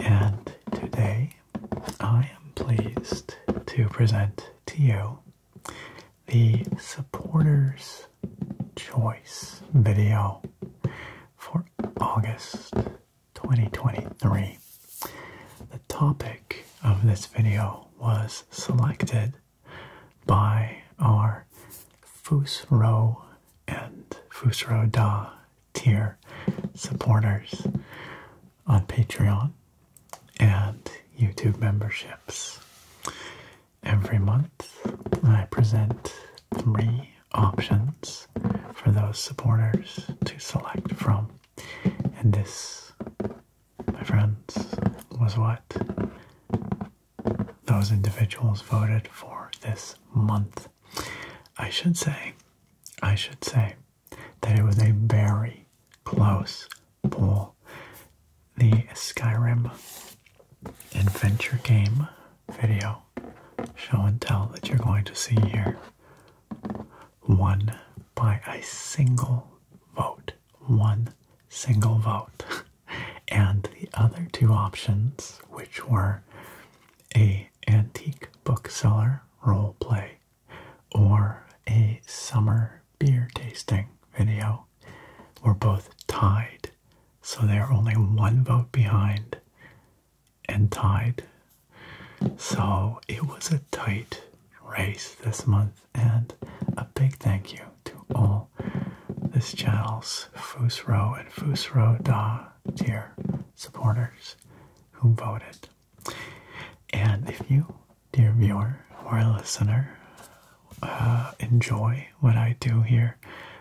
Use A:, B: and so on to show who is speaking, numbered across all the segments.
A: And today I am pleased to present to you the Supporters' Choice video for August 2023. The topic of this video was selected by our Row and Fusro Da tier supporters on Patreon and YouTube memberships. Every month, I present three options for those supporters to select from. And this, my friends, was what those individuals voted for this month. I should say, I should say that it was a very close poll. The Skyrim adventure game video show and tell that you're going to see here won by a single vote. One single vote. and the other two options, which were a antique bookseller role play or a summer beer tasting video, were both tied. So they are only one vote behind and tied. So it was a tight race this month, and a big thank you to all this channel's Foose Row and Fusro Da dear supporters who voted. And if you, dear viewer or listener, uh, enjoy what I do here,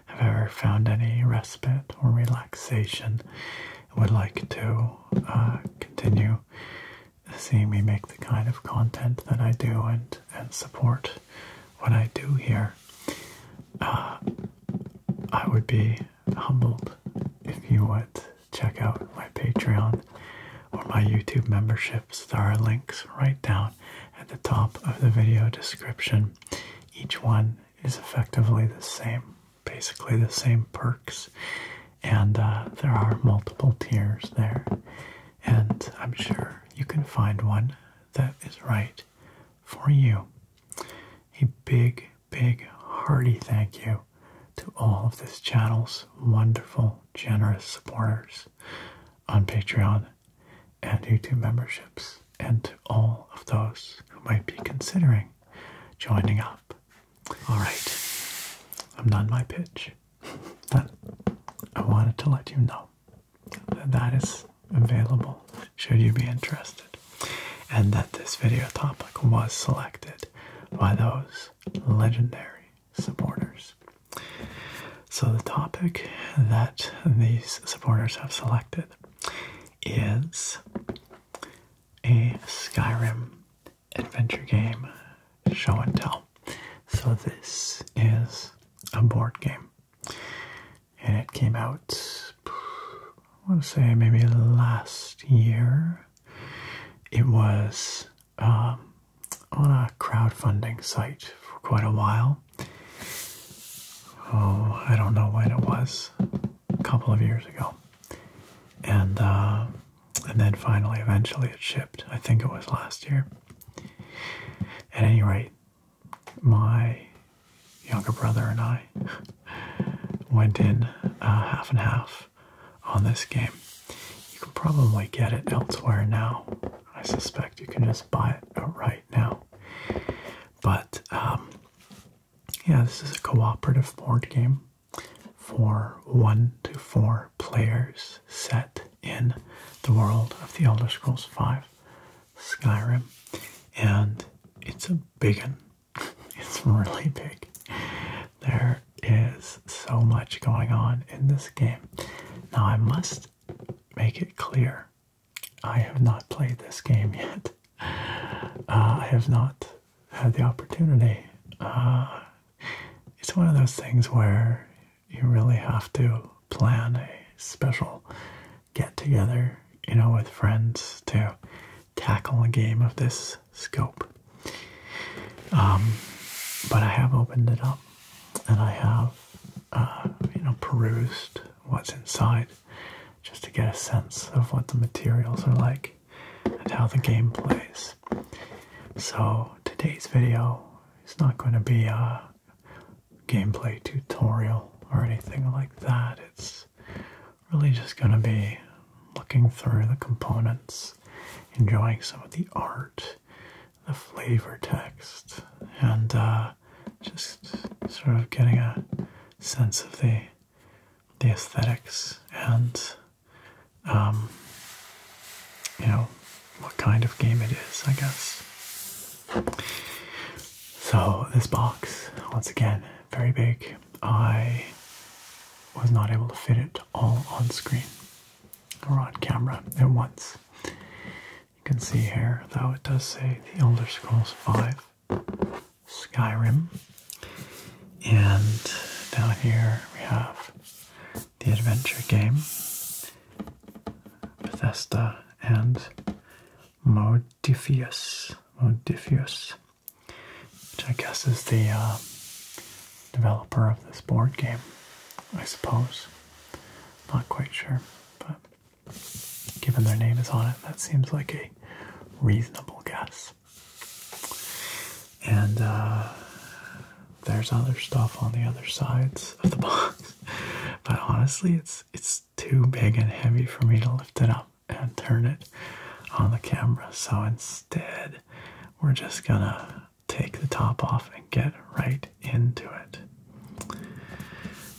A: have ever found any respite or relaxation, would like to uh, continue seeing me make the kind of content that I do and, and support what I do here, uh, I would be humbled if you would check out my Patreon or my YouTube memberships. There are links right down at the top of the video description. Each one is effectively the same, basically the same perks, and uh, there are multiple tiers there. And I'm sure you can find one that is right for you. A big, big, hearty thank you to all of this channel's wonderful, generous supporters on Patreon and YouTube memberships, and to all of those who might be considering joining up. All right, I'm done my pitch. Done. I wanted to let you know that is available should you be interested and that this video topic was selected by those legendary supporters. So the topic that these supporters have selected is a Skyrim adventure game show and tell. So this is a board game and it came out, I want to say maybe last year. It was um, on a crowdfunding site for quite a while. Oh, I don't know when it was, a couple of years ago. And, um, and then finally, eventually, it shipped. I think it was last year. At any rate, my younger brother and I went in uh, half and half on this game. You can probably get it elsewhere now. I suspect you can just buy it right now. But um, yeah, this is a cooperative board game for one to four players set in the world of The Elder Scrolls V Skyrim, and it's a big one. It's really big. There is so much going on in this game. Now, I must make it clear I have not played this game yet. Uh, I have not had the opportunity. Uh, it's one of those things where you really have to plan a special get together, you know, with friends to tackle a game of this scope. Um, but I have opened it up and I have, uh, you know, perused what's inside just to get a sense of what the materials are like and how the game plays. So today's video is not going to be a uh, gameplay tutorial or anything like that. It's really just going to be looking through the components, enjoying some of the art, the flavor text, and uh, just sort of getting a sense of the the aesthetics and um, you know what kind of game it is, I guess. So this box, once again, very big. I was not able to fit it all on screen or on camera at once. You can see here, though, it does say The Elder Scrolls V Skyrim. And down here we have the adventure game. Bethesda and Modifius. Modifius, which I guess is the uh, developer of this board game, I suppose. Not quite sure, but given their name is on it, that seems like a reasonable guess. And uh, there's other stuff on the other sides of the box, but honestly, it's it's too big and heavy for me to lift it up and turn it on the camera. So instead, we're just gonna take the top off and get right into it.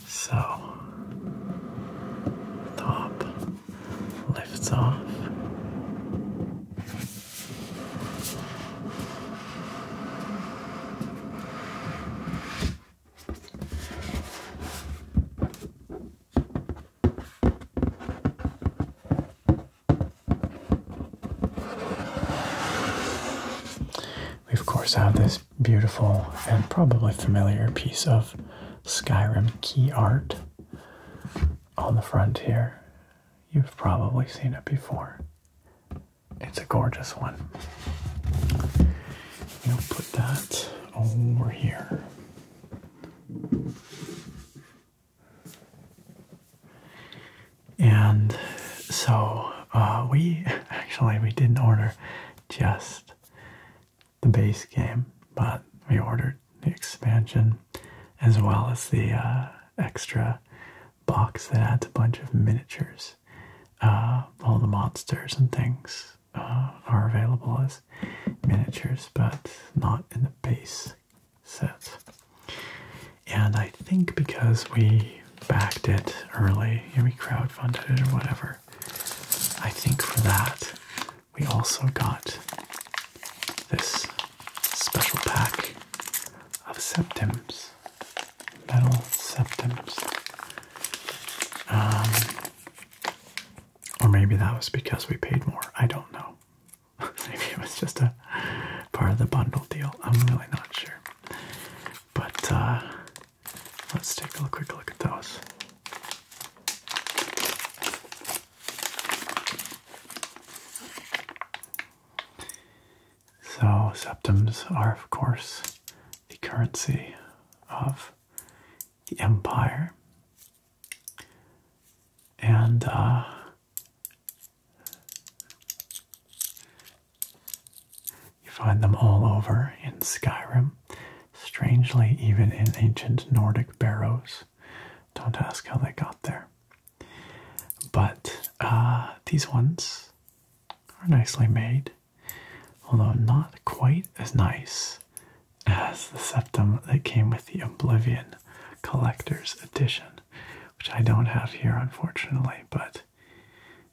A: So top lifts off. We, of course, have this beautiful and probably familiar piece of Skyrim key art on the front here. You've probably seen it before. It's a gorgeous one. You'll put that over here. And so uh, we actually we didn't order just the base game, but we ordered the expansion as well as the uh, extra box that adds a bunch of miniatures. Uh, all the monsters and things uh, are available as miniatures, but not in the base set. And I think because we backed it early and we crowdfunded it or whatever, I think for that we also got this special pack of septims metal septums. or maybe that was because we paid more. I don't know. maybe it was just a part of the bundle deal. I'm really not sure. But uh, let's take a quick look at those. So, septums are, of course, the currency of the empire. And uh, you find them all over in Skyrim. Strangely, even in ancient Nordic barrows. Don't ask how they got there. But uh, these ones are nicely made, although not quite as nice as the septum that came with the Oblivion Collector's Edition, which I don't have here unfortunately, but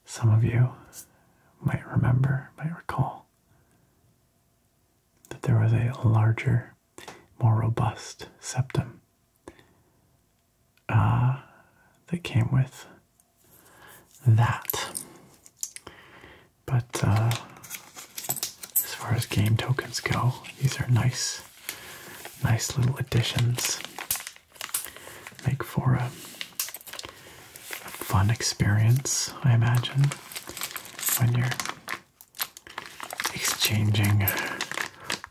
A: some of you might remember, might recall that there was a larger, more robust septum uh, that came with that. But uh, as far as game tokens go, these are nice, nice little additions. Make for a fun experience, I imagine, when you're exchanging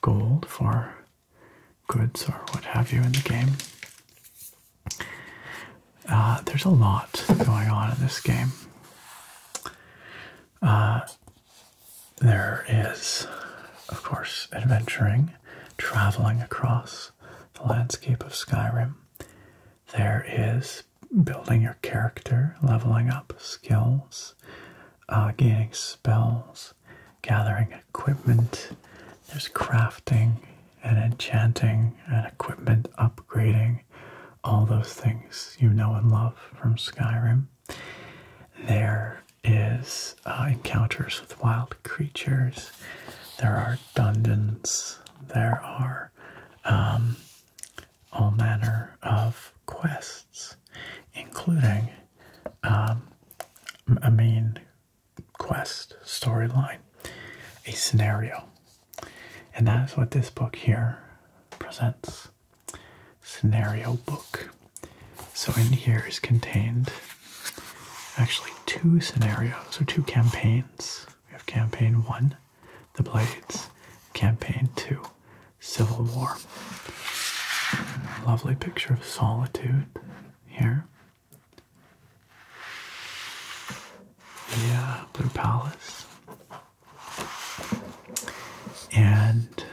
A: gold for goods or what have you in the game. Uh, there's a lot going on in this game. Uh, there is, of course, adventuring, traveling across the landscape of Skyrim. There is building your character, leveling up skills, uh, spells, gathering equipment, there's crafting and enchanting and equipment upgrading, all those things you know and love from Skyrim. There is uh, encounters with wild creatures, there are dungeons, there are um, all manner of quests, including um, I mean quest, storyline, a scenario. And that is what this book here presents. Scenario book. So in here is contained actually two scenarios or two campaigns. We have campaign one, the Blades, campaign two, Civil War. Lovely picture of solitude here. Yeah, Blue Palace. And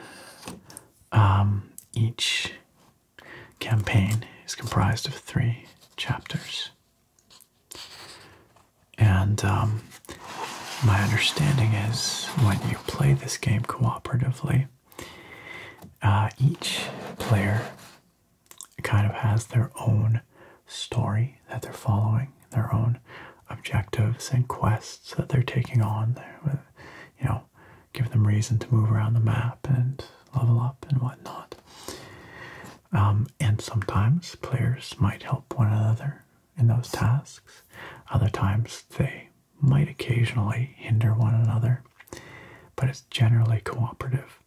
A: um, each campaign is comprised of three chapters. And um, my understanding is when you play this game cooperatively, uh, each player kind of has their own story that they're following, their own objectives and quests that they're taking on. they you know, give them reason to move around the map and level up and whatnot. Um, and sometimes players might help one another in those tasks. Other times they might occasionally hinder one another but it's generally cooperative.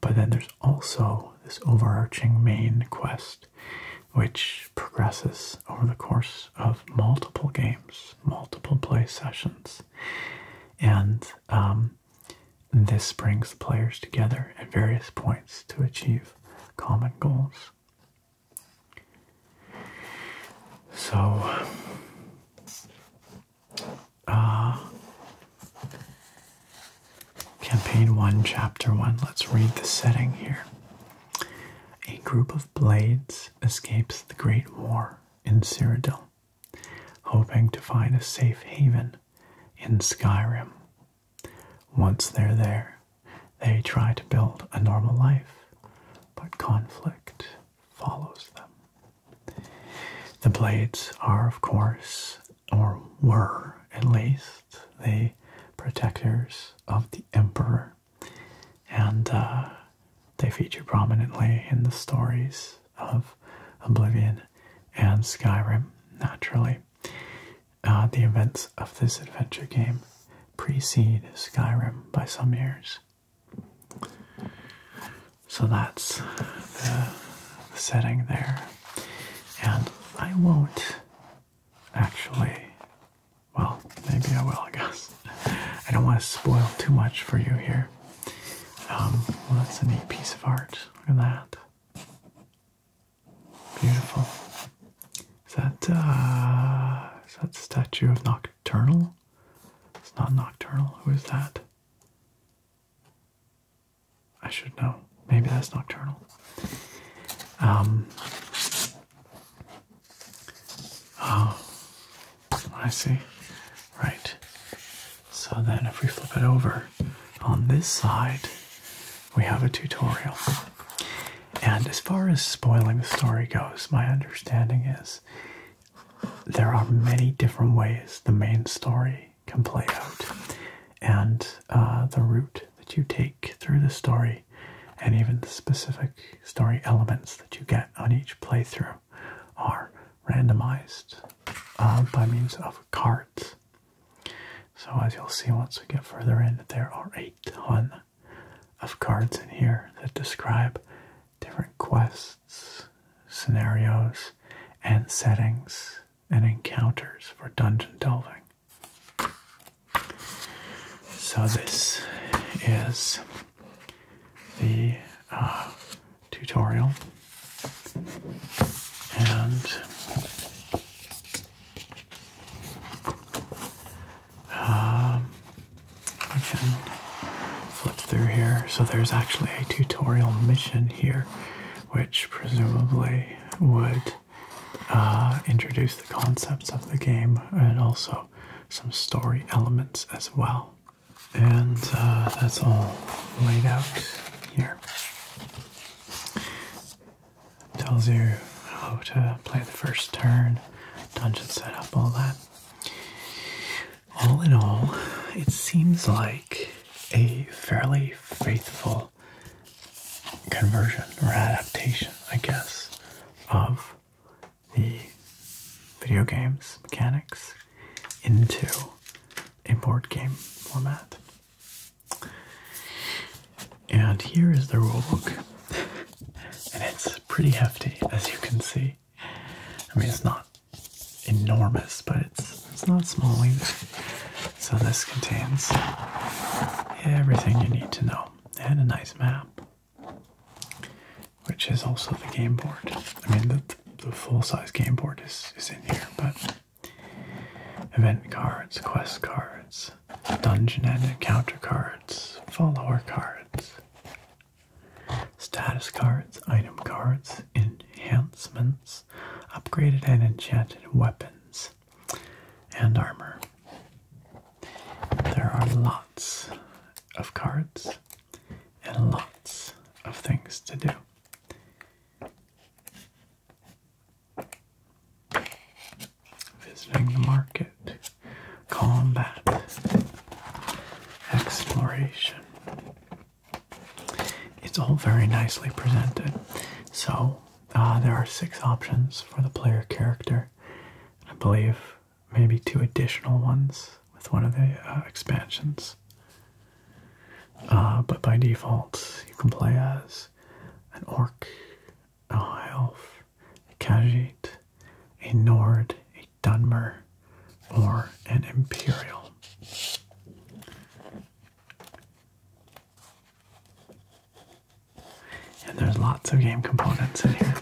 A: But then there's also this overarching main quest, which progresses over the course of multiple games, multiple play sessions. And um, this brings the players together at various points to achieve common goals. So, uh, campaign 1, Chapter 1. Let's read the setting here. A group of blades escapes the Great War in Cyrodiil, hoping to find a safe haven in Skyrim. Once they're there, they try to build a normal life, but conflict follows them. The blades are, of course, or were at least, the protectors of the emperor, and uh, they feature prominently in the stories of Oblivion and Skyrim, naturally. Uh, the events of this adventure game precede Skyrim by some years. So that's the setting there. And I won't actually, well, maybe I will, I guess. I don't want to spoil too much for you here. Um, that's a neat piece of art. Look at that. Beautiful. Is that uh, is that statue of Nocturnal? It's not nocturnal. Who is that? I should know. Maybe that's nocturnal. Um. Oh, I see. Right. So then, if we flip it over on this side, we have a tutorial. And as far as spoiling the story goes, my understanding is there are many different ways the main story can play out, and uh, the route that you take through the story, and even the specific story elements that you get on each playthrough, are randomized uh, by means of cards. So, as you'll see once we get further in, there are a ton of cards in here that describe different quests scenarios, and settings and encounters for dungeon delving. So, this is the uh, tutorial, and um, I can flip through here. So there's actually a tutorial mission here, which presumably would uh, introduce the concepts of the game and also some story elements as well. And uh, that's all laid out here. Tells you how to play the first turn, dungeon setup, all that. All in all, it seems like a fairly faithful conversion or adaptation, I guess, of the video games mechanics into a board game format. And here is the rulebook, and it's pretty hefty, as you can see. I mean, it's not enormous, but it's it's not small either. So this contains everything you need to know, and a nice map, which is also the game board. I mean, the, the full-size game board is is in here, but event cards, quest cards, dungeon and encounter cards, follower cards, Status cards, item cards, enhancements, upgraded and enchanted weapons, and armor. There are lots of cards and lots of things to do. Visiting the market, combat, exploration. It's all very nicely presented. So uh, there are six options for the player character. I believe maybe two additional ones with one of the uh, expansions. Uh, but by default, you can play as an orc, a half, a Khajiit, a Nord, a Dunmer or an Imperial. And there's lots of game components in here.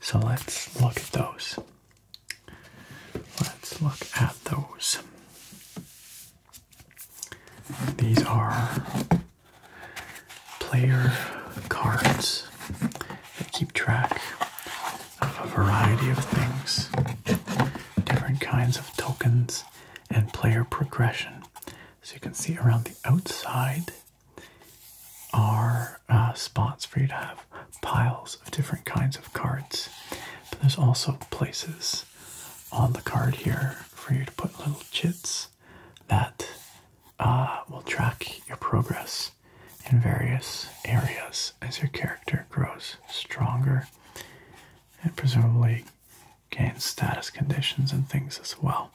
A: So let's look at those. Let's look at those. These are player cards that keep track of a variety of things, different kinds of tokens, and player progression. So you can see around the outside are uh, spots for you to have piles of different kinds of cards. But there's also places on the card here for you to put little chits that uh, will track your progress in various areas as your character grows stronger and presumably gains status conditions and things as well.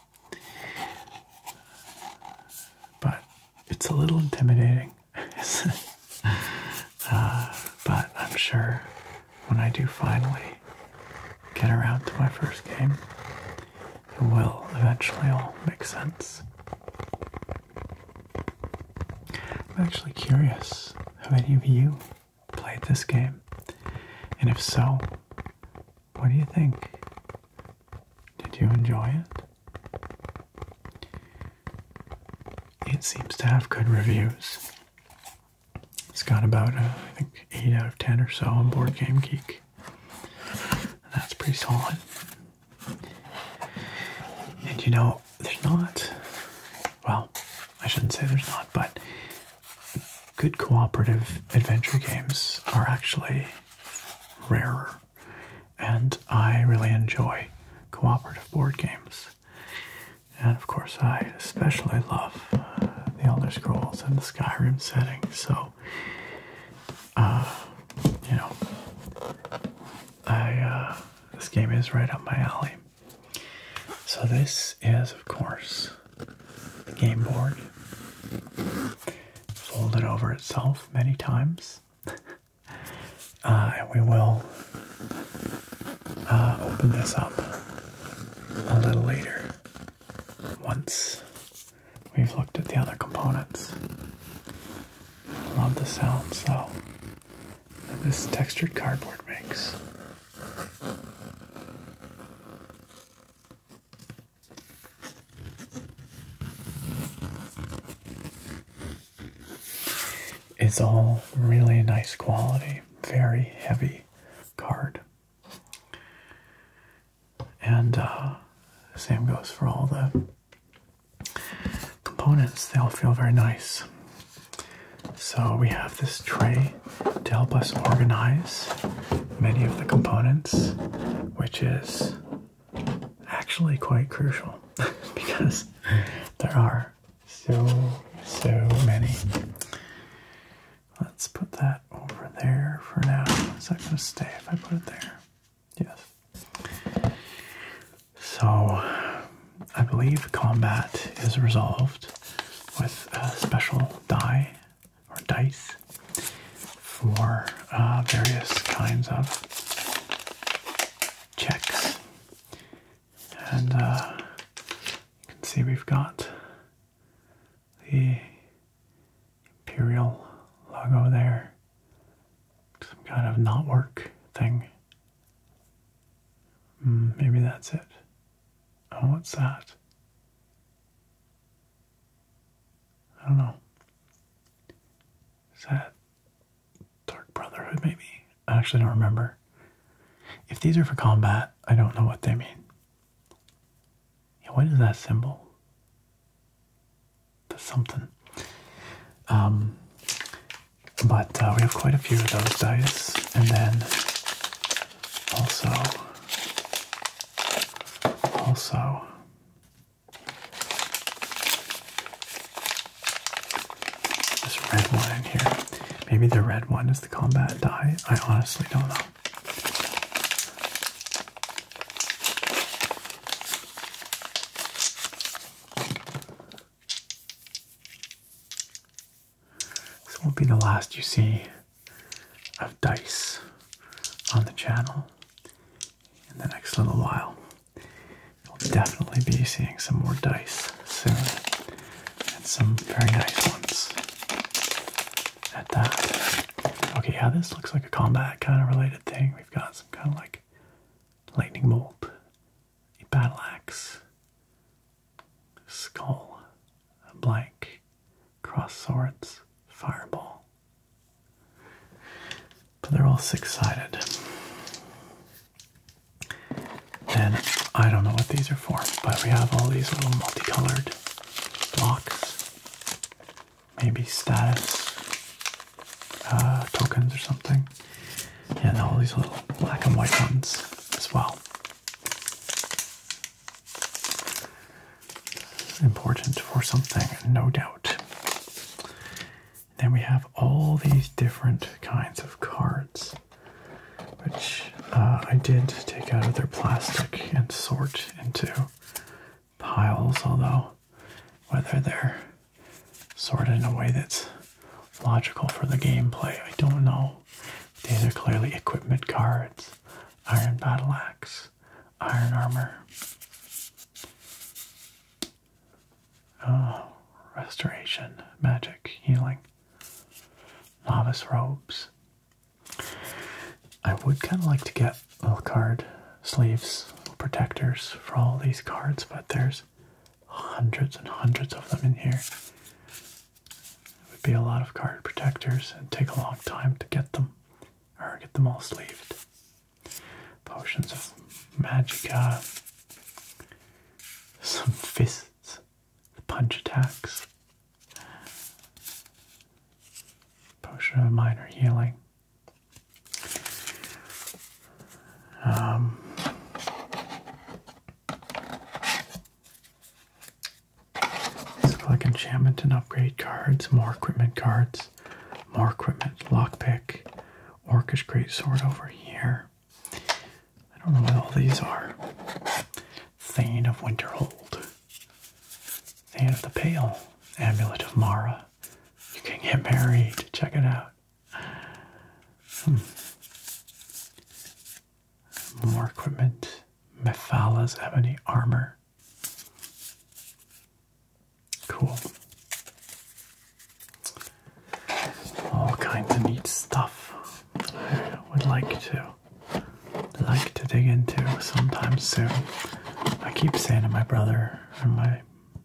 A: But it's a little intimidating, uh, but I'm sure when I do finally get around to my first game, it will eventually all make sense. I'm actually curious have any of you played this game? And if so, what do you think? Did you enjoy it? It seems to have good reviews. It's got about, uh, I think, 8 out of 10 or so on Board Game Geek. that's pretty solid. And you know, there's not, well, I shouldn't say there's not, but good cooperative adventure games are actually rarer. And I really enjoy cooperative board games. And of course, I especially love uh, the Elder Scrolls and the Skyrim setting. So uh, you know, I uh, this game is right up my alley. So this is, of course, the game board folded over itself many times, uh, and we will uh, open this up a little later once We've looked at the other components. Love the sounds though that this textured cardboard makes. It's all really nice quality, very heavy card. And uh, same goes for all the components, they all feel very nice. So we have this tray to help us organize many of the components, which is actually quite crucial because there are so, so many. Let's put that over there for now. Is that going to stay if I put it there? Yes. So I believe combat is resolved with a special die or dice for uh, various kinds of checks. And uh, you can see we've got the imperial logo there some kind of not work thing. Hmm, maybe that's it. Oh, what's that? I don't know. Is that Dark Brotherhood, maybe? I actually don't remember. If these are for combat, I don't know what they mean. Yeah, what is that symbol? something. Um, but uh, we have quite a few of those dice, and then also, also. This red one in here. Maybe the red one is the combat die. I honestly don't know. This won't be the last you see of dice on the channel in the next little while. we will definitely be seeing some more dice soon, and some very nice ones at that. Okay, yeah, this looks like a combat kind of related thing. We've got kind of like lightning bolt, a battle axe, a skull, a blank, cross swords, fireball. But they're all six sided. And I don't know what these are for, but we have all these little multicolored blocks maybe status uh, tokens or something. And all these little black and white ones as well. Important for something, no doubt. Then we have all these different kinds of cards, which uh, I did take out of their plastic and sort into piles, although whether they're sorted in a way that's logical for the gameplay, I don't know. These are clearly equipment cards, iron battle axe, iron armor. Oh, restoration, magic, healing, novice robes. I would kind of like to get little card sleeves, protectors for all these cards, but there's hundreds and hundreds of them in here. It would be a lot of card protectors and take a long time to get them or get them all sleeved. Potions of magica, some fists, punch attacks, potion of minor healing. Um, like enchantment and upgrade cards, more equipment cards, more equipment, lockpick, orcish greatsword over here. I don't know what all these are. Thane of Winterhold, Thane of the Pale, Amulet of Mara, you can get married. Check it out. Hmm. More equipment. Mephala's have any armor. Cool. All kinds of neat stuff. I would like to like to dig into sometime soon. I keep saying to my brother, from my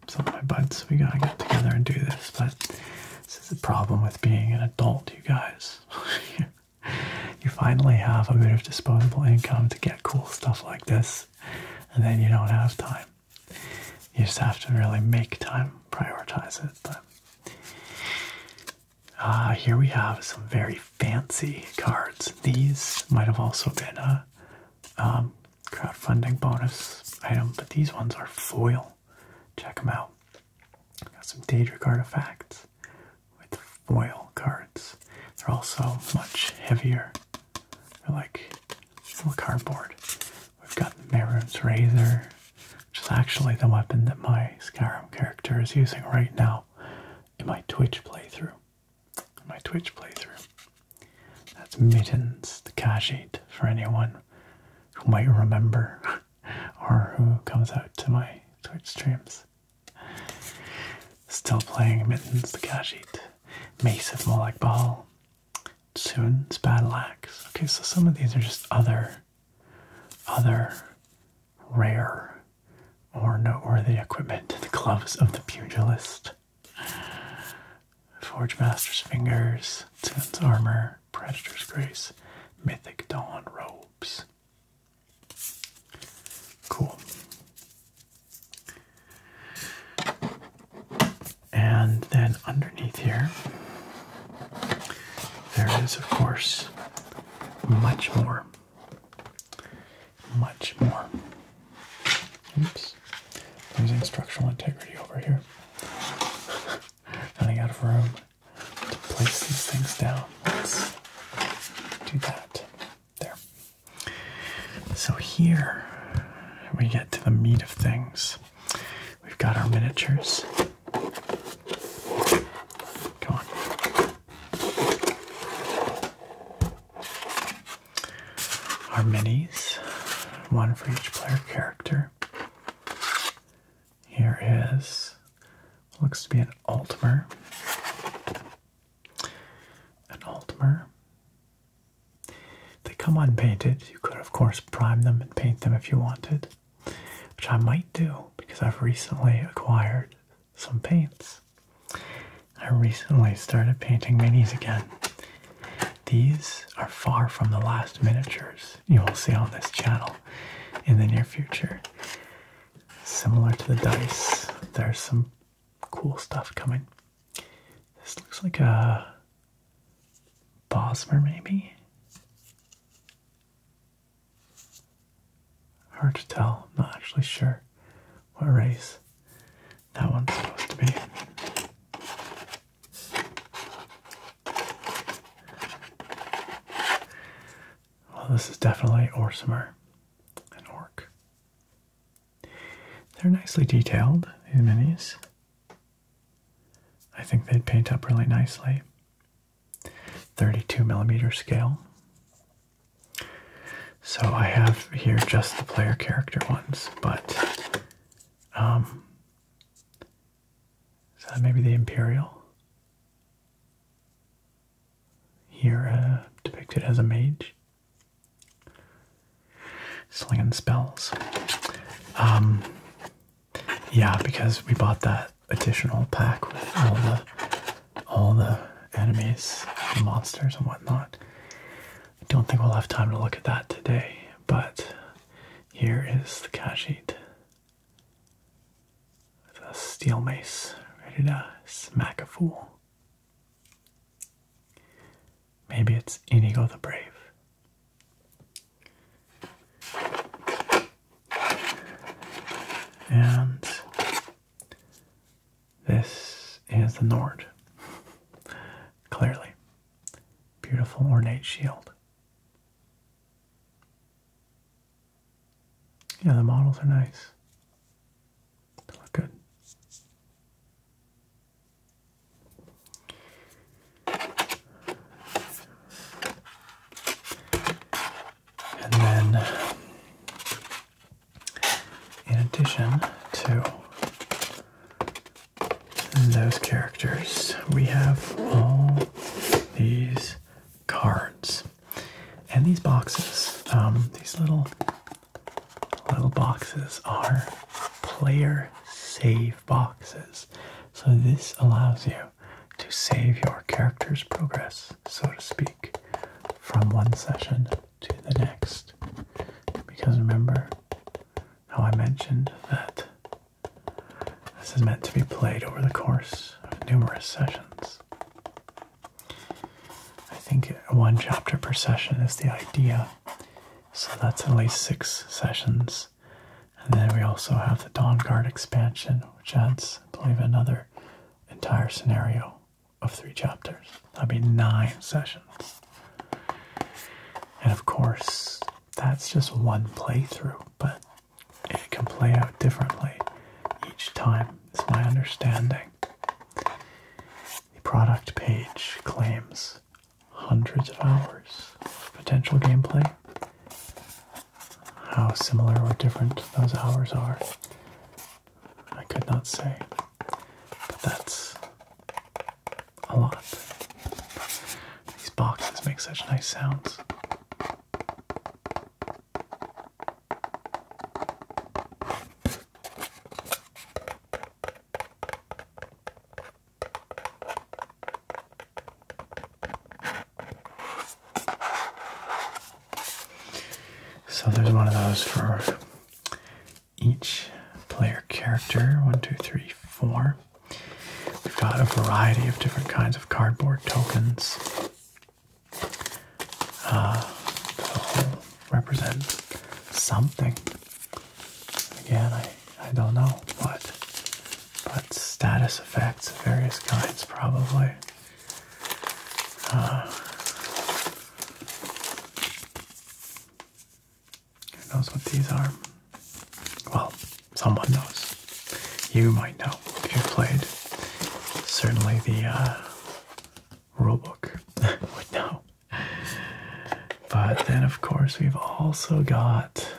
A: some of my buds. We gotta get together and do this. But this is a problem with being an adult, you guys. you finally have a bit of disposable income to get cool stuff like this, and then you don't have time. You just have to really make time, prioritize it. But uh, here we have some very fancy cards. These might have also been uh, um, crowdfunding bonus item, but these ones are foil. Check them out. Got some Daedric artifacts with foil cards. They're also much heavier. They're like little cardboard. We've got Merun's Razor, which is actually the weapon that my Skyrim character is using right now in my Twitch playthrough my Twitch playthrough. That's Mittens, the card for anyone who might remember or who comes out to my Twitch streams. Still playing Mittens, the card sheet. Mace of like Ball. Soon's Battle Axe. Okay, so some of these are just other, other rare or noteworthy equipment. The gloves of the pugilist. Forge Master's Fingers, Titan's Armor, Predator's Grace, Mythic Dawn Robes. Cool. And then underneath here, there is, of course, much more much more. Oops, losing structural integrity over here. Running out of room to place these things down. Let's do that. There. So here we get to the meat of things. We've got our miniatures. Come on our minis, one for each player character. Here is looks to be an Altmer. An Altmer. They come unpainted. You could, of course, prime them and paint them if you wanted, which I might do because I've recently acquired some paints. I recently started painting minis again. These are far from the last miniatures you will see on this channel in the near future. Similar to the dice, there's some cool stuff coming. This looks like a Bosmer, maybe? Hard to tell, I'm not actually sure what race that one's supposed to be. Well, this is definitely Orsimer, an orc. They're nicely detailed, these minis. I think they'd paint up really nicely. 32 millimeter scale. So I have here just the player character ones, but um, maybe the Imperial? Here uh, depicted as a mage. Slinging spells. Um, yeah, because we bought that additional pack with all the all the enemies, the monsters, and whatnot. I don't think we'll have time to look at that today, but here is the Kajit with a steel mace ready to smack a fool. Maybe it's Inigo the Brave. And this is the Nord. Clearly. Beautiful ornate shield. Yeah, the models are nice. They look good. And then in addition to those characters, we have all these cards and these boxes. Um, these little little boxes are player save boxes. So this allows you to save your character's progress, so to speak, from one session to the next. Because remember how I mentioned that this is meant to be played over the course of numerous sessions. I think one chapter per session is the idea, so that's at least six sessions. And then we also have the Dawn Guard expansion, which adds, I believe, another entire scenario of three chapters. That'd be nine sessions. And of course, that's just one playthrough, but it can play out differently each time, is my understanding. The product page claims hundreds of hours of potential gameplay. How similar or different those hours are I could not say, but that's a lot. These boxes make such nice sounds. So there's one of those for each player character. One, two, three, four. We've got a variety of different kinds of cardboard tokens uh, represent something. Again, I, I don't know what, but status effects of various kinds probably. who knows what these are? Well, someone knows. You might know if you've played. Certainly the uh, rulebook would know. But then, of course, we've also got.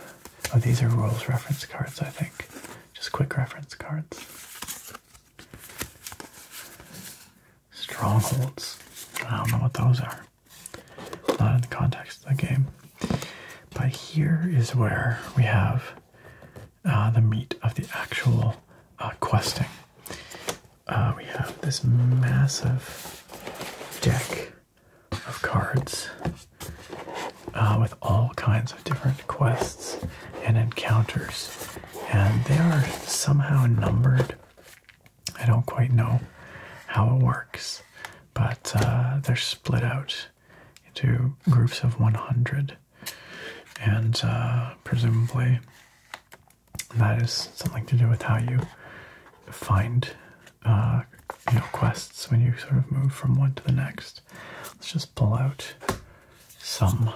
A: Oh, these are rules reference cards, I think. Just quick reference cards strongholds. I don't know what those are. Not in the context of the game. But here is where we have uh, the meat of the actual uh, questing. Uh, we have this massive deck of cards with all kinds of different quests and encounters and they are somehow numbered. I don't quite know how it works, but uh, they're split out into groups of 100, and uh, presumably that is something to do with how you find uh, quests when you sort of move from one to the next. Let's just pull out some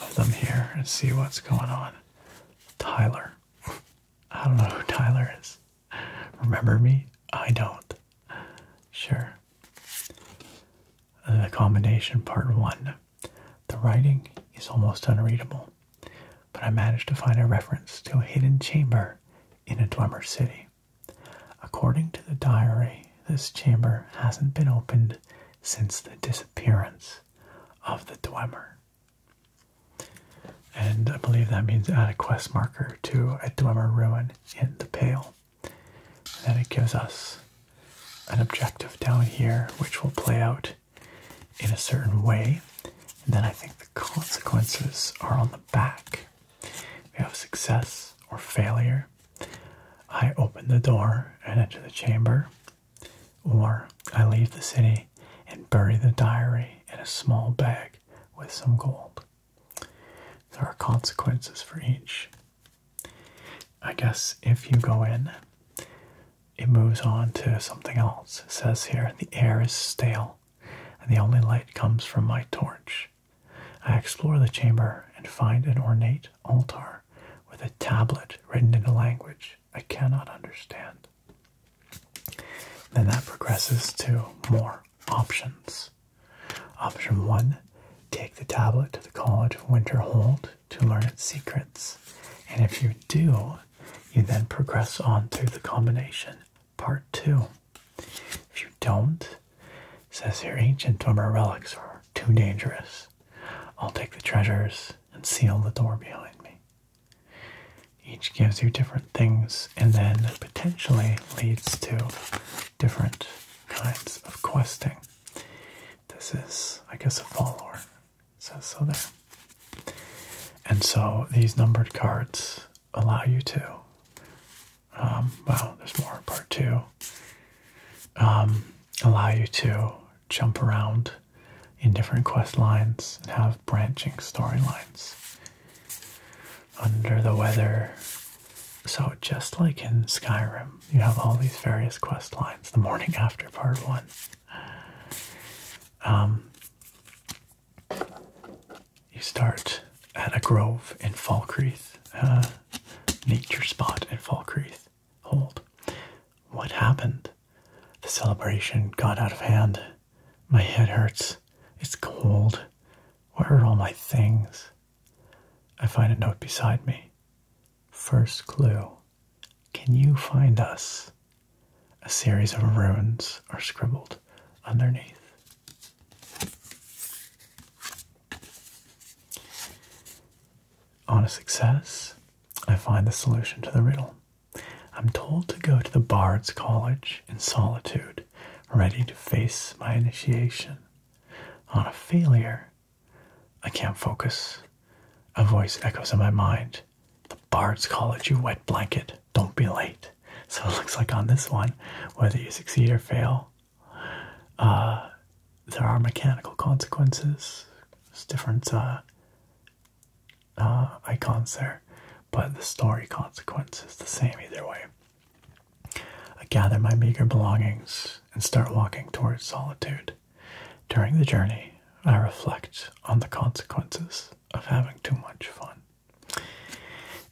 A: of them here and see what's going on. Tyler. I don't know who Tyler is. Remember me? I don't. Sure. The combination part one. The writing is almost unreadable, but I managed to find a reference to a hidden chamber in a Dwemer city. According to the diary, this chamber hasn't been opened since the disappearance of the dwemer. And I believe that means add a quest marker to a dwemer ruin in the pale. And then it gives us an objective down here which will play out in a certain way. And then I think the consequences are on the back. We have success or failure. I open the door and enter the chamber. Or I leave the city and bury the diary in a small bag with some gold. There are consequences for each. I guess if you go in, it moves on to something else. It says here, the air is stale, and the only light comes from my torch. I explore the chamber and find an ornate altar with a tablet written in a language I cannot understand. Then that progresses to more options. Option one take the tablet to the College of Winterhold to learn its secrets. And if you do, you then progress on through the combination part two. If you don't, says here ancient Dwemer relics are too dangerous I'll take the treasures and seal the door behind me. Each gives you different things and then potentially leads to different kinds of questing. This is, I guess, a follower. It so there. And so these numbered cards allow you to. Um, wow, there's more. Part two. Um, allow you to jump around in different quest lines and have branching storylines. Under the weather. So, just like in Skyrim, you have all these various quest lines the morning after part one. Um, you start at a grove in Falkreath, uh, nature spot in Falkreath, Hold. What happened? The celebration got out of hand. My head hurts. It's cold. Where are all my things? I find a note beside me. First clue Can you find us? A series of runes are scribbled underneath. On a success, I find the solution to the riddle. I'm told to go to the Bard's College in solitude, ready to face my initiation. On a failure, I can't focus. A voice echoes in my mind The Bard's College, you wet blanket, don't be late. So it looks like on this one, whether you succeed or fail, uh, there are mechanical consequences. There's different uh, uh, icons there, but the story consequence is the same either way. I gather my meager belongings and start walking towards solitude. During the journey, I reflect on the consequences of having too much fun.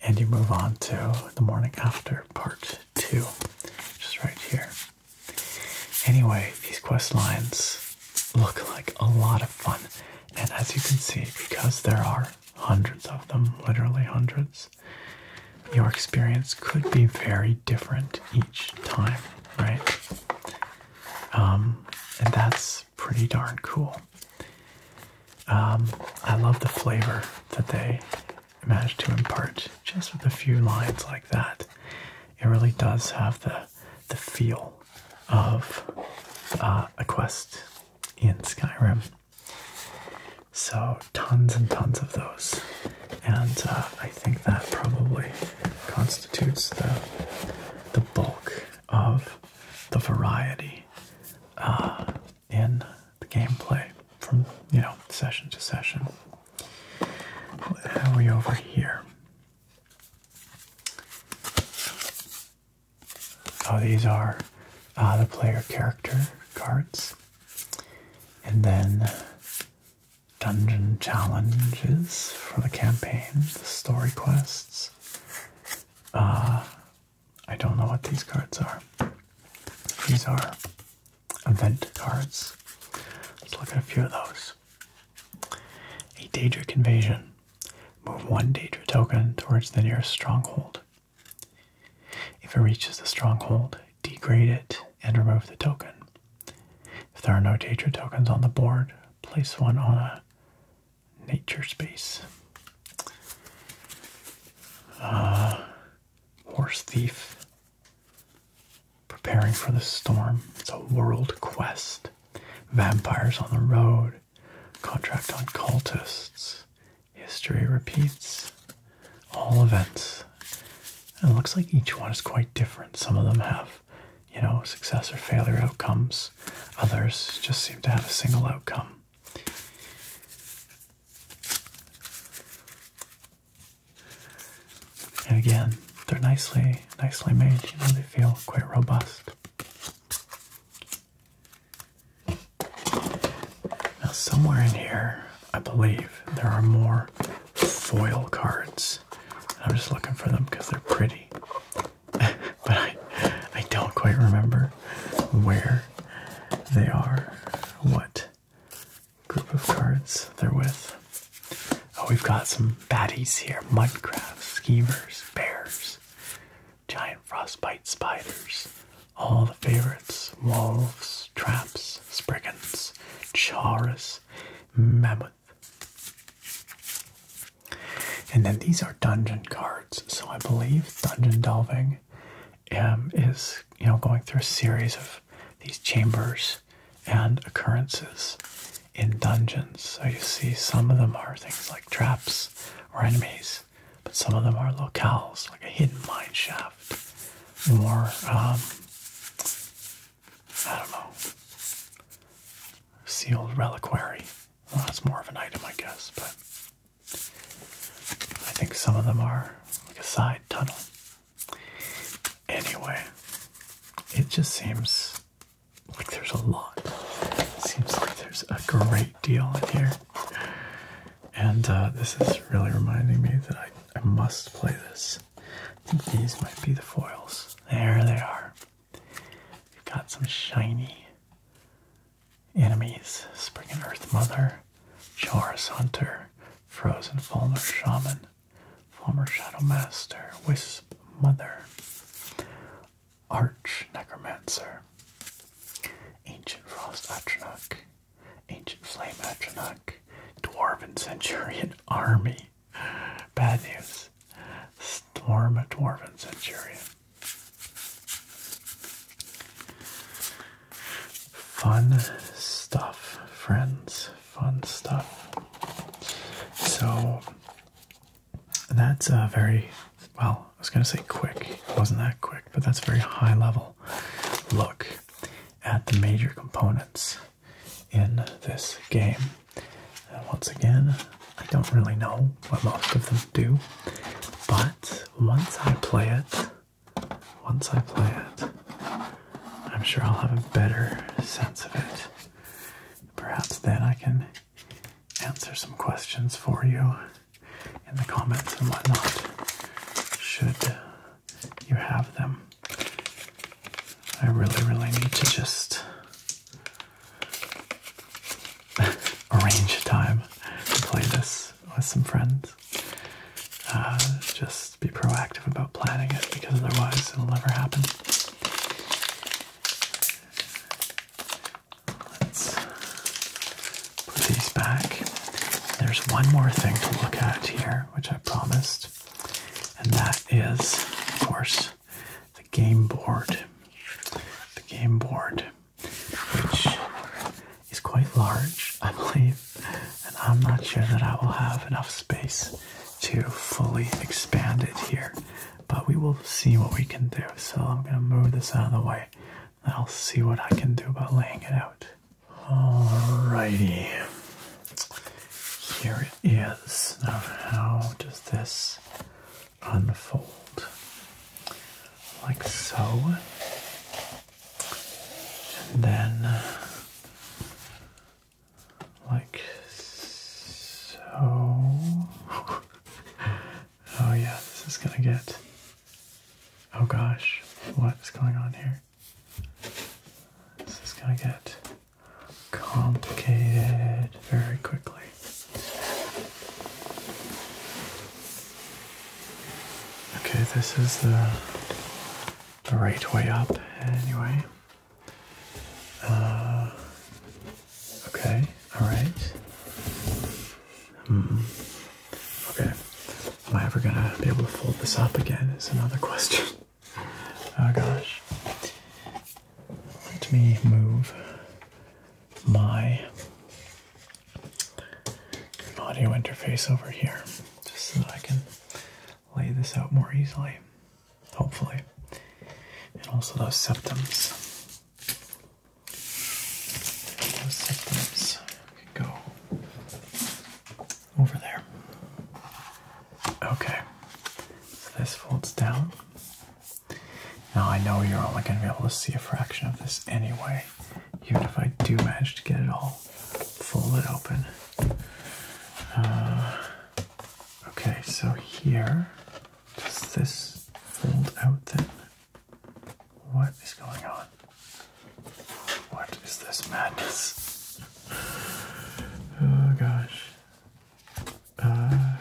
A: And you move on to the morning after part two, which is right here. Anyway, these quest lines look like a lot of fun, and as you can see, because there are hundreds of them, literally hundreds, your experience could be very different each time, right? Um, and that's pretty darn cool. Um, I love the flavor that they managed to impart just with a few lines like that. It really does have the the feel of uh, a quest in Skyrim. So tons and tons of those, and uh, I think that probably constitutes the the bulk of the variety uh, in the gameplay from you know session to session. What have we over here? Oh, these are uh, the player character cards. And then dungeon challenges for the campaign, the story quests. Uh, I don't know what these cards are. These are event cards. Let's look at a few of those. A Daedric invasion. Move one Daedra token towards the nearest stronghold. If it reaches the stronghold, degrade it and remove the token. If there are no Daedra tokens on the board, place one on a nature space. Uh, Horse Thief. Preparing for the storm. It's a world quest. Vampires on the road. Contract on cultists. History repeats. All events. it looks like each one is quite different. Some of them have, you know, success or failure outcomes. Others just seem to have a single outcome. And again, they're nicely, nicely made. You know, they feel quite robust. Now, somewhere in here, I believe there are more foil cards. I'm just looking for them because they're pretty, but I, I don't quite remember where they are, what group of cards they're with. Oh, we've got some baddies here mudcrabs, schemers, bears, giant frostbite spiders, all the favorites wolves, traps, spriggans, charas, mammoth. And then these are dungeon cards. So I believe dungeon delving um, is, you know, going through a series of these chambers and occurrences in dungeons. So you see, some of them are things like traps or enemies, but some of them are locales, like a hidden mine shaft, more, um, I don't know, sealed reliquary. that's more of an item, I guess, but I think some of them are like a side tunnel. Anyway, it just seems like there's a lot. seems like there's a great deal in here. And uh, this is really reminding me that I, must play this. I think these might be the foils. There they are. We've got some shiny enemies. Spring and Earth Mother, Charis Hunter, Frozen Fulmer Shaman, former Shadow Master, Wisp Mother, Arch Necromancer, Ancient Frost Atronach, Ancient Flame Atronach, Dwarven Centurion Army, bad news, Storm Dwarven Centurion. Fun stuff, friends. Fun stuff. So that's a uh, very well, I was going to say quick. It wasn't that quick, but that's a very high level look at the major components in this game. And once again, I don't really know what most of them do, but once I play it, once I play it, I'm sure I'll have a better sense of it. Perhaps then I can answer some questions for you in the comments and whatnot, should you have them. I really, really need to just arrange time to play this with some friends. Uh, just be proactive about planning it because otherwise it'll never happen. Let's put these back. There's one more thing to look at here, which I promised, and that is, of course, the game board. The game board, which is quite large, I believe and I'm not sure that I will have enough space to fully expand it here, but we will see what we can do. So I'm gonna move this out of the way, I'll see what I can do about laying it out. Alrighty, here it is. Now, how does this unfold? Like so and then uh, like so. oh yeah, this is gonna get. Oh gosh, what is going on here? This is gonna get complicated very quickly. Okay, this is the the right way up anyway. Uh, okay, alright. Hmm. Okay, am I ever gonna be able to fold this up again? Is another question. oh gosh. Let me move my audio interface over here just so I can lay this out more easily, hopefully. And also those septums. Those septums can go over there. Okay, so this folds down. Now I know you're only going to be able to see a fraction of this anyway, even if I do manage to get it all folded open. Uh, okay, so here, does this fold out then? What is going on? What is this madness? Oh gosh. Uh,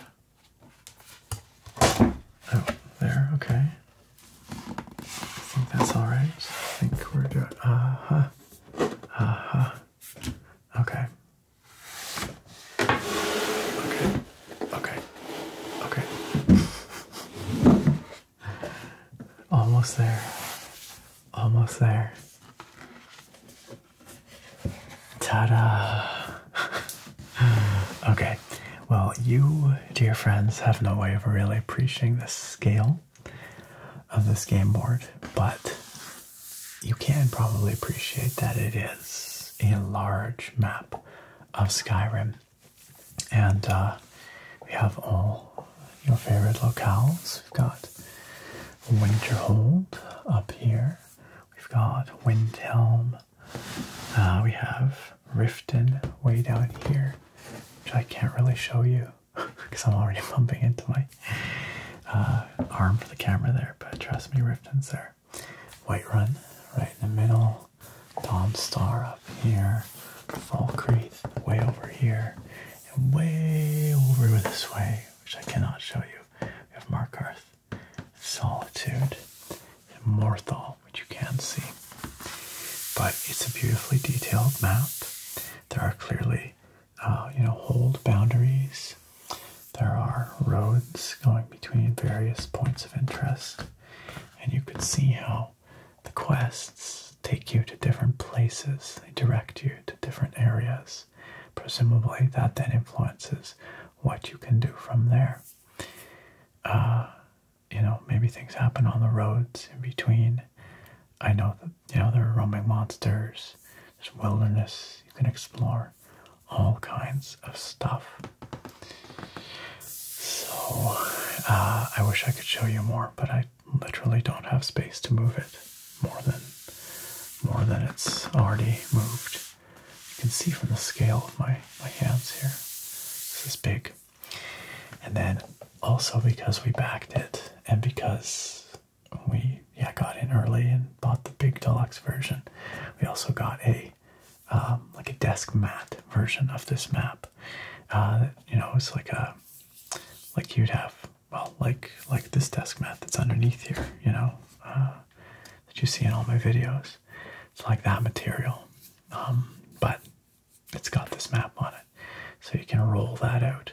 A: oh, there, okay. I think that's alright. I think we're good. Uh huh uh Okay. Okay. Okay. Okay. Almost there. Almost there. Ta-da! okay. Well, you, dear friends, have no way of really appreciating the scale of this game board, but you can probably appreciate that it is a large map of Skyrim. And uh, we have all your favorite locales. We've got Winterhold up here. We've got Windhelm. Uh, we have Riften way down here, which I can't really show you because I'm already bumping into my uh, arm for the camera there. But trust me, Rifton's there. White Run right in the middle. Tom Star up here. Falkreath way over here. And way over this way, which I cannot show you. We have Markarth, Solitude, and Morthal, which you can see. But it's a beautifully detailed map. There are clearly, uh, you know, hold boundaries. There are roads going between various points of interest, and you could see how the quests take you to different places. They direct you to different areas. Presumably, that then influences what you can do from there. Uh, you know, maybe things happen on the roads in between I know that you know there are roaming monsters, there's wilderness you can explore, all kinds of stuff. So uh, I wish I could show you more, but I literally don't have space to move it more than more than it's already moved. You can see from the scale of my my hands here. This is big. And then also because we backed it and because we yeah got in early and bought the big deluxe version, we also got a um, like a desk mat version of this map. Uh, you know, it's like a like you'd have well like like this desk mat that's underneath here. You know uh, that you see in all my videos. It's like that material, um, but it's got this map on it. So you can roll that out.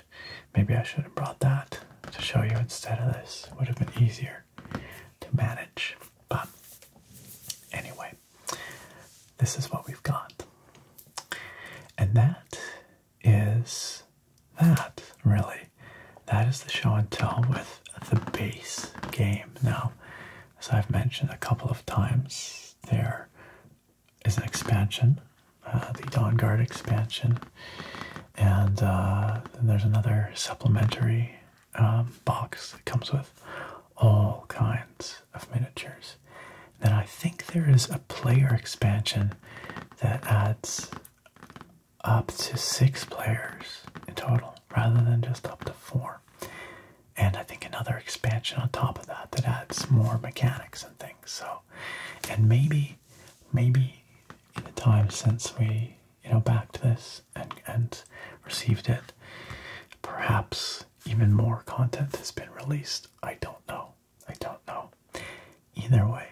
A: Maybe I should have brought that to show you instead of this. Would have been easier to manage. But anyway, this is what we've got. And that is that, really. That is the show and tell with the base game. Now, as I've mentioned a couple of times, there is an expansion, uh, the Dawn Guard expansion, and uh, then there's another supplementary um, box that comes with all kinds of miniatures. Then I think there is a player expansion that adds up to six players in total rather than just up to four. And I think another expansion on top of that that adds more mechanics and things. So, and maybe, maybe in the time since we, you know, backed this and and received it, perhaps even more content has been released. I don't know. I don't know. Either way,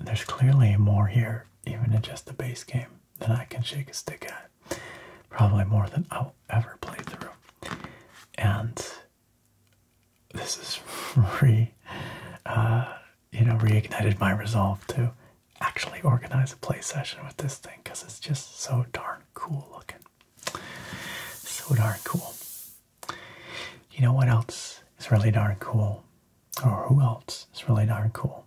A: there's clearly more here, even in just the base game, than I can shake a stick at. Probably more than I'll ever play through. And this is re, uh, you know, reignited my resolve to actually organize a play session with this thing because it's just so darn cool looking. So darn cool. You know what else is really darn cool? Or who else is really darn cool?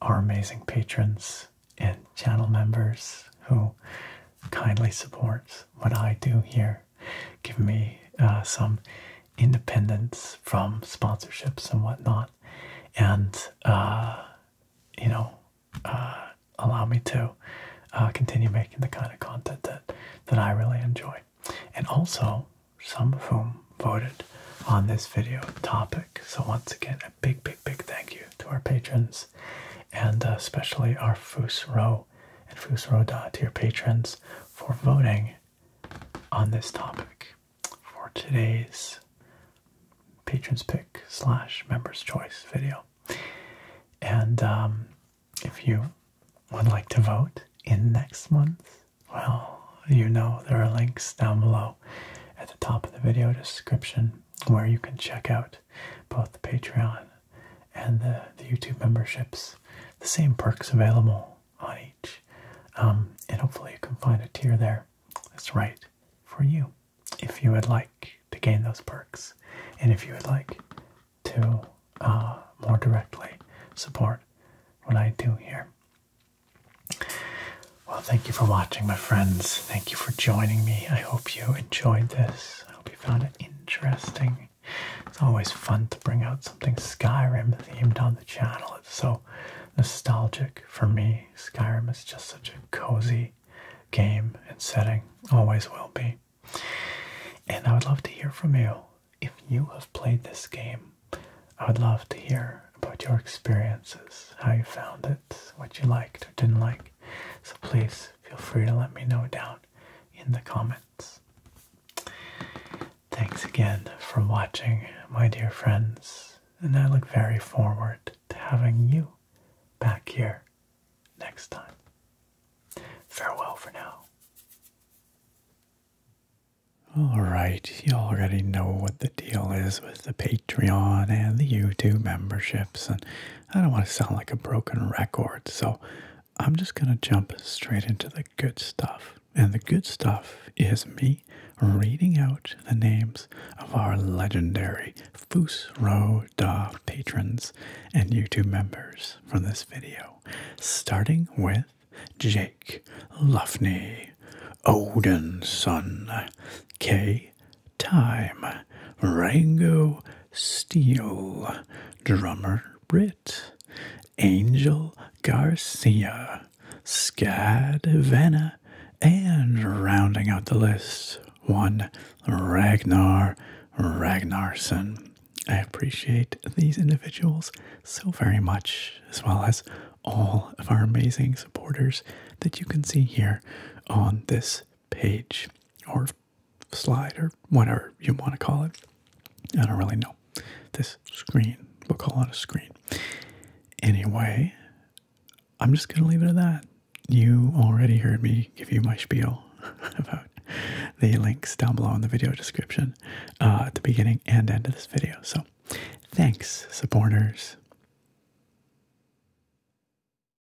A: Our amazing patrons and channel members who kindly supports what I do here, give me uh, some independence from sponsorships and whatnot, and uh, you know, uh, allow me to continue making the kind of content that that I really enjoy, and also some of whom voted on this video topic. So once again, a big, big, big thank you to our patrons and uh, especially our Fusro and Fusro dot to your patrons for voting on this topic for today's patrons pick slash members choice video. And um, if you would like to vote in next month, well, you know there are links down below at the top of the video description where you can check out both the Patreon and the, the YouTube memberships. The same perks available on each. Um, and hopefully you can find a tier there that's right for you if you would like to gain those perks. And if you would like to uh, more directly support what I do here. Well, thank you for watching, my friends. Thank you for joining me. I hope you enjoyed this. I hope you found it interesting. It's always fun to bring out something Skyrim themed on the channel. It's so nostalgic for me. Skyrim is just such a cozy game and setting, always will be. And I would love to hear from you if you have played this game. I would love to hear about your experiences, how you found it, what you liked or didn't like. So please feel free to let me know down in the comments. Thanks again for watching, my dear friends, and I look very forward to having you back here next time. Farewell for now. Alright, you already know what the deal is with the Patreon and the YouTube memberships and I don't want to sound like a broken record, so I'm just going to jump straight into the good stuff. And the good stuff is me reading out the names of our legendary Fusro Da patrons and YouTube members from this video, starting with Jake Luffney, Odinson, K time, Rango Steele, drummer Britt, Angel Garcia, Scad Vanna, and rounding out the list, one Ragnar Ragnarsson. I appreciate these individuals so very much, as well as all of our amazing supporters that you can see here on this page or slide or whatever you want to call it. I don't really know. This screen, we'll call it a screen. Anyway, I'm just going to leave it at that. You already heard me give you my spiel about the links down below in the video description uh, at the beginning and end of this video. So, thanks, supporters.